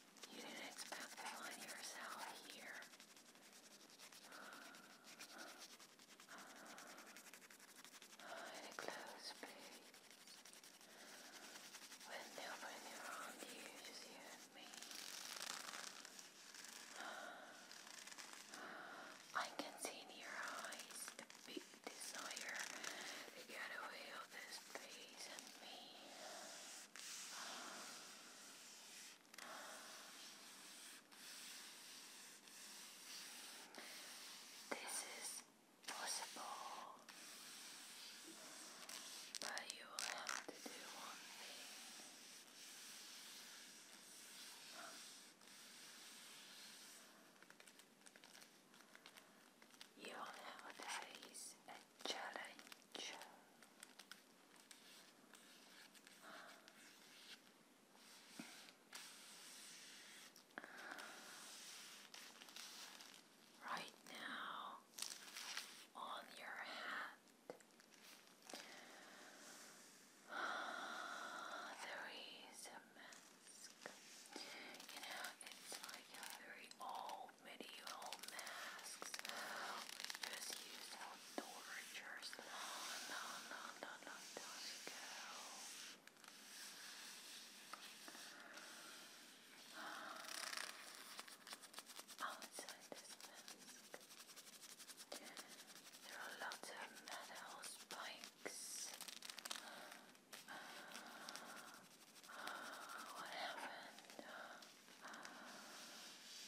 You didn't expect to find yourself here. In a closed place. With nobody around you, just you me. I can see in your eyes the big desire to get away of this place and me. This is possible, but you will have to do one thing. You will have a dice challenge. Right now, on your hand, there is a mask. You know, it's like very old old medieval masks just used outdoor chairs long, long, long, long, long time ago. there are lots of metal spikes. What happened?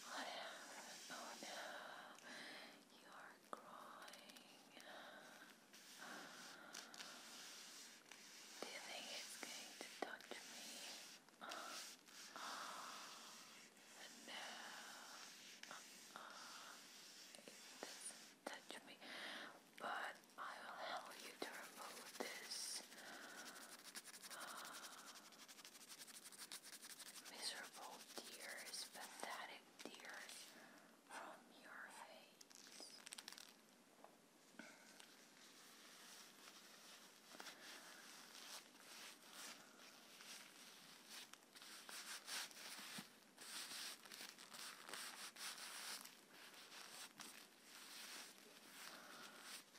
What happened? Oh no, you are crying. Do you think it's going to touch me? No, it doesn't touch me but I will help you to remove this uh, miserable tears, pathetic tears from your face.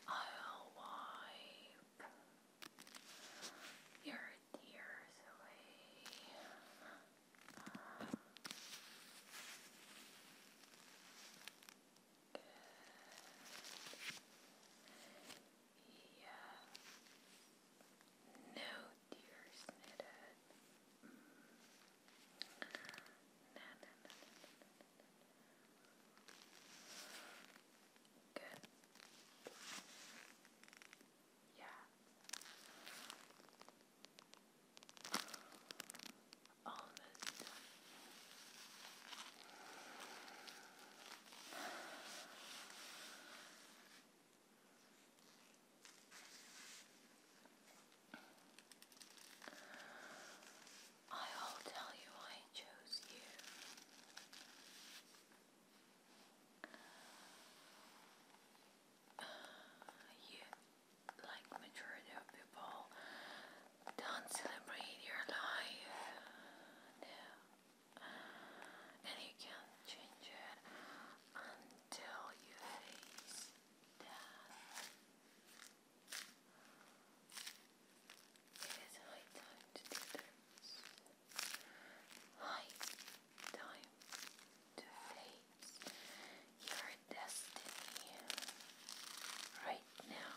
I'll wipe your tears away. Yeah. No tears knitted. No, no, no, no, no, no, no. Good. Yeah. Almost done. I will tell you I chose you. Uh, like majority of people, don't celebrate your life. And you can't change it until you face it is high time to do this. High time to face your destiny right now.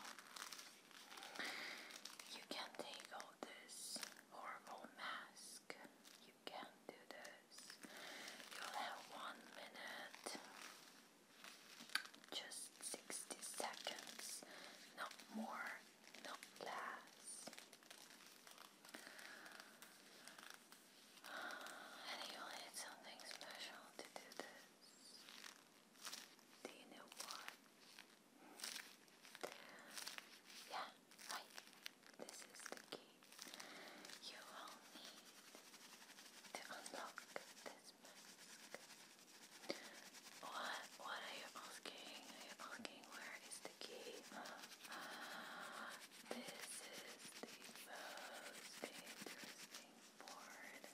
You can take all this horrible mess task. You can do this. You'll have one minute, just 60 seconds, not more, not less. And you'll need something special to do this. Do you know what? Yeah, right. This is the key you will need to unlock this mask. What? What are you asking? Are you asking where is the key? this is the most interesting part.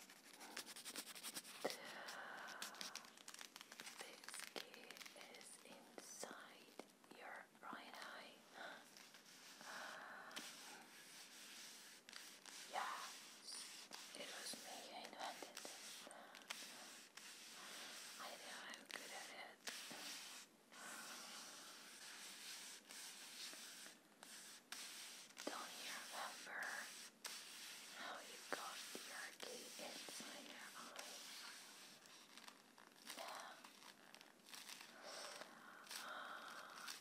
This key is inside your right uh, yeah, it was me invented I know I'm good at it. Don't you remember how you got your key inside your eye?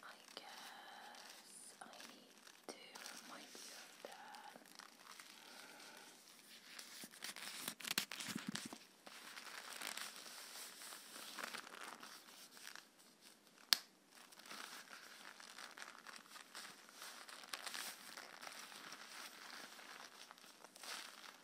I guess I need to remind you that.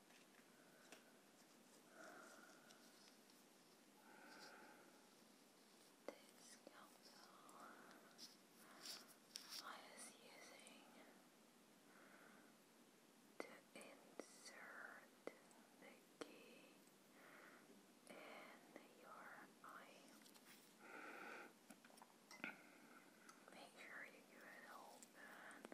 This council I was using to insert the key in your eye. Make sure you get it open.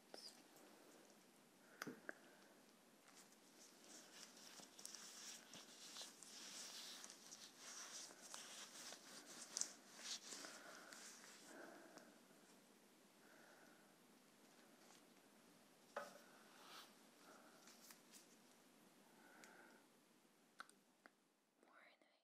Morning.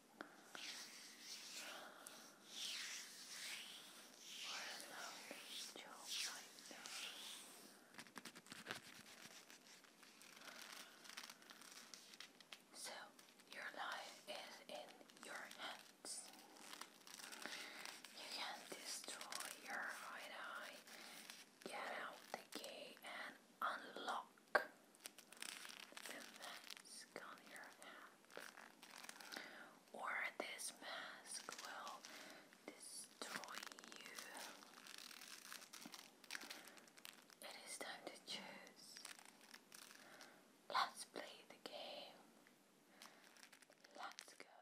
Or So, your life is in your hands. You can destroy your hideout, get out the key, and unlock the mask on your hat, or this mask will destroy you. It is time to choose. Let's play the game. Let's go.